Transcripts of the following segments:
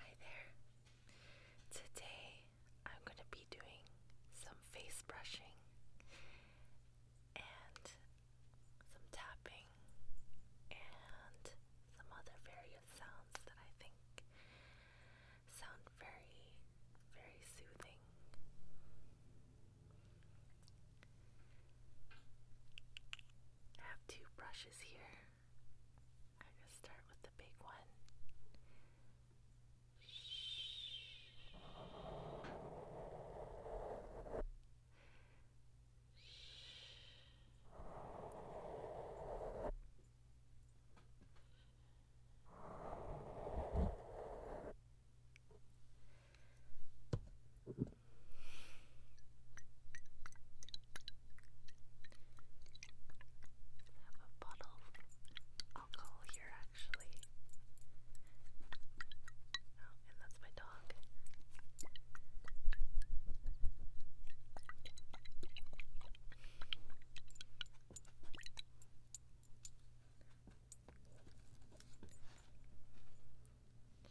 Hi there. Today I'm going to be doing some face brushing and some tapping and some other various sounds that I think sound very, very soothing. I have two brushes here. I'm going to start with the big one. Shh. Shh. I have a bottle of alcohol here actually. Oh, and that's my dog.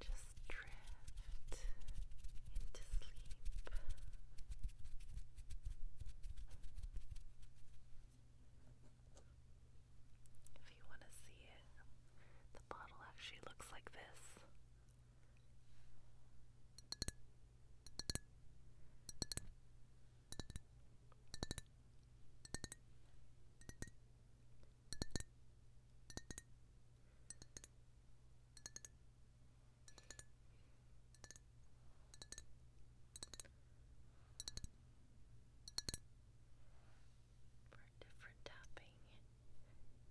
Just drift into sleep. If you want to see it, the bottle actually looks like this for a different tapping surface.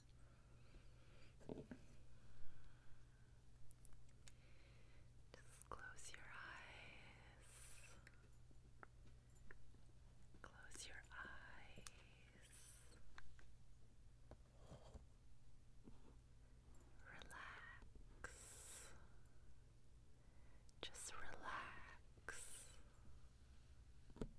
Just close your eyes. Close your eyes. Relax. Just relax. This is my favorite.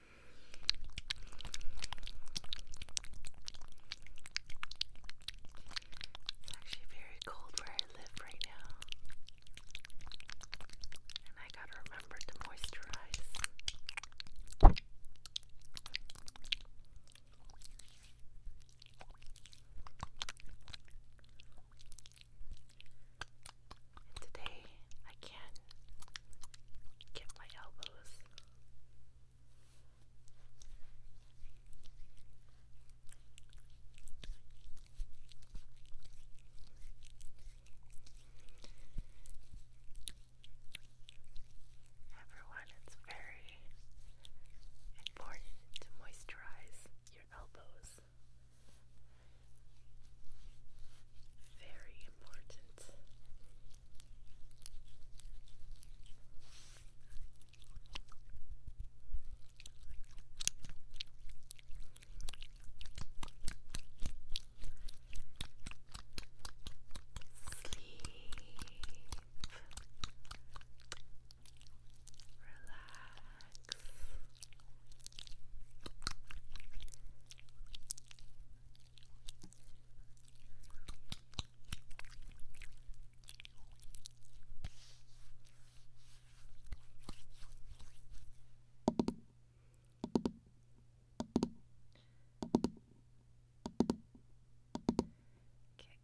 It's actually very cold where I live right now. And I gotta remember to moisturize. And today I can't get my elbows. Everyone, it's very important to moisturize your elbows. Very important. Sleep. Relax. Get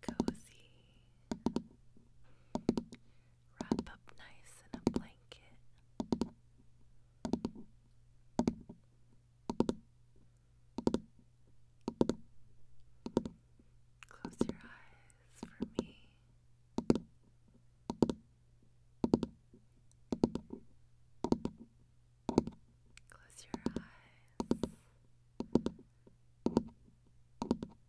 cozy wrap up nice in a blanket. Close your eyes for me. Close your eyes.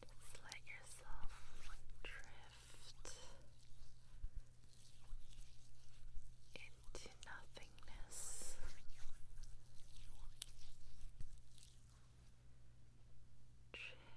just let yourself drift into nothingness. Drift. Drift.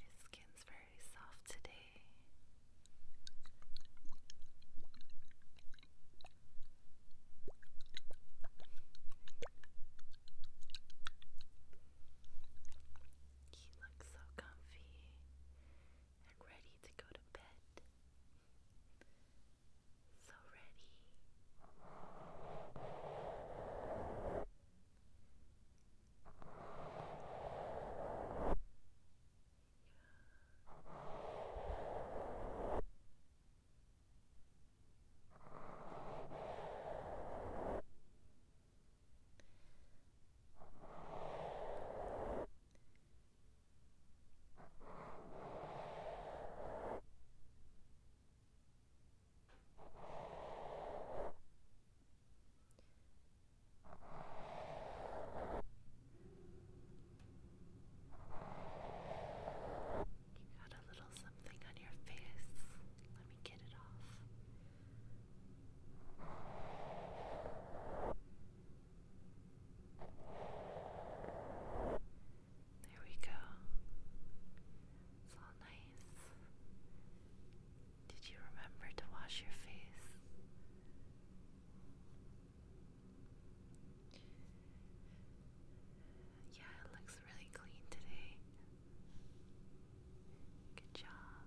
Your skin's very soft today. You look so comfy and ready to go to bed so ready. Yeah. You got a little something on your face. Let me get it off. Good. There we go. It's all nice. Did you remember to wash your face? Yeah, it looks really clean today. Good job.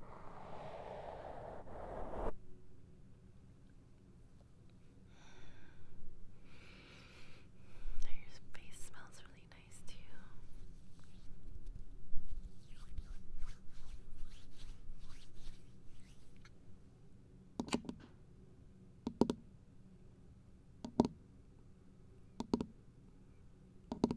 Now your face smells really nice too. Good.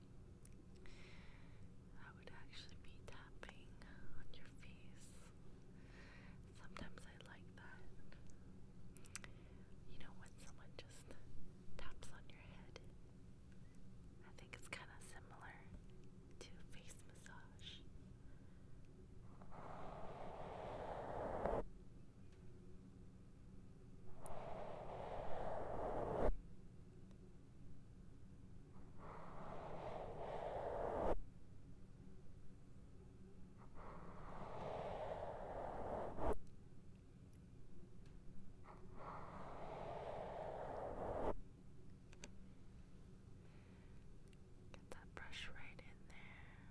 I would actually be tapping on your face. Sometimes I like that. You know, when someone just taps on your head, I think it's kind of similar to face massage. Get that brush right in there.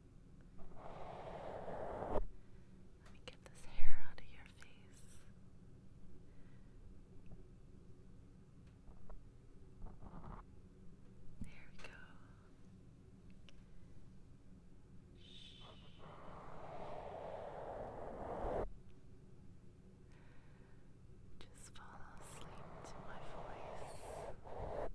Let me get this hair out of your face. There we go. Shh. Just fall asleep to my voice.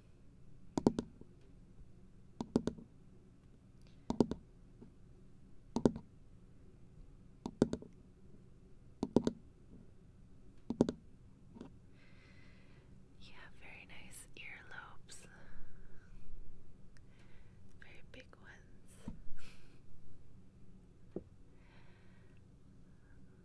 You have very nice earlobes, very big ones.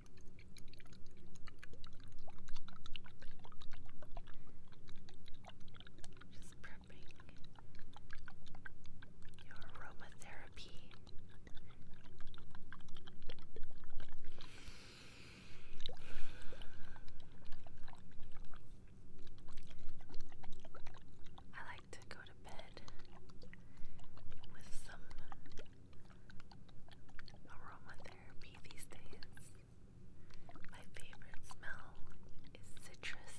Just prepping your aromatherapy. I like to go to bed with some aromatherapy these days. My favorite smell is citrus.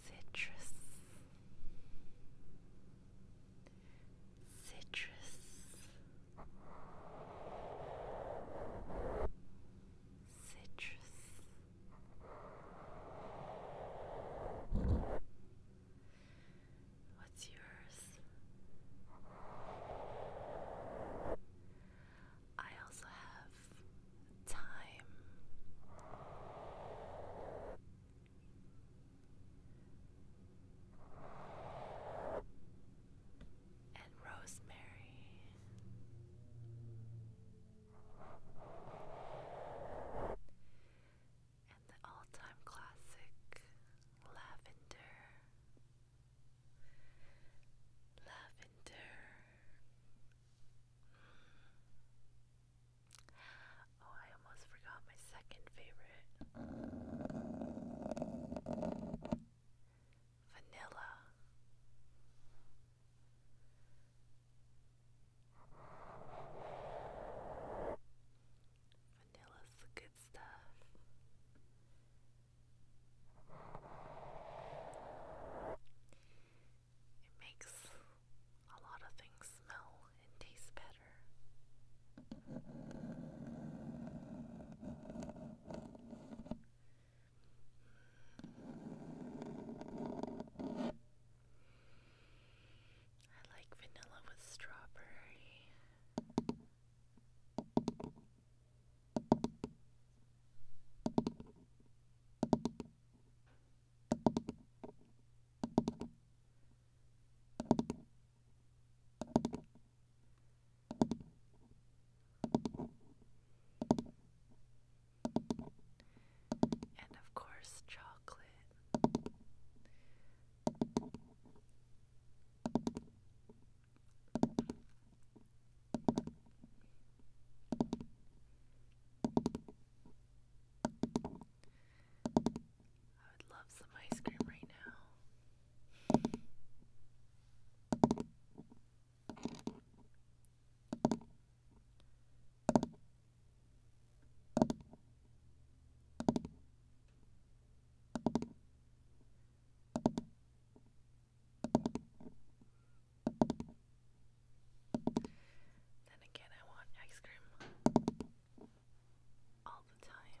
Citrus. Citrus. Citrus. What's yours? I also have time. And rosemary and the all time classic Lavender. Lavender. Mm. Oh, I almost forgot my second favorite. Vanilla. Vanilla's the good stuff. It makes a lot of things smell and taste better. I like vanilla with strawberry. And of course, chocolate. I would love some ice cream right now. Then again, I want ice cream all the time.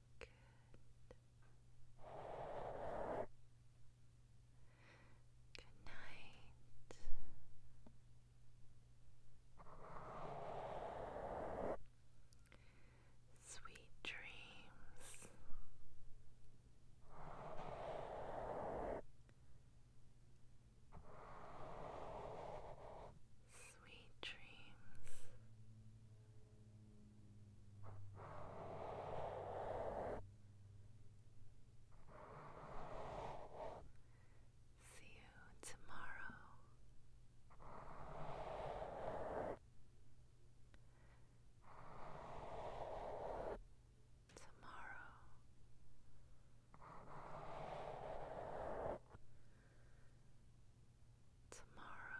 Good. Good night. Sweet dreams. Sweet dreams. See you tomorrow. Tomorrow tomorrow. Bye.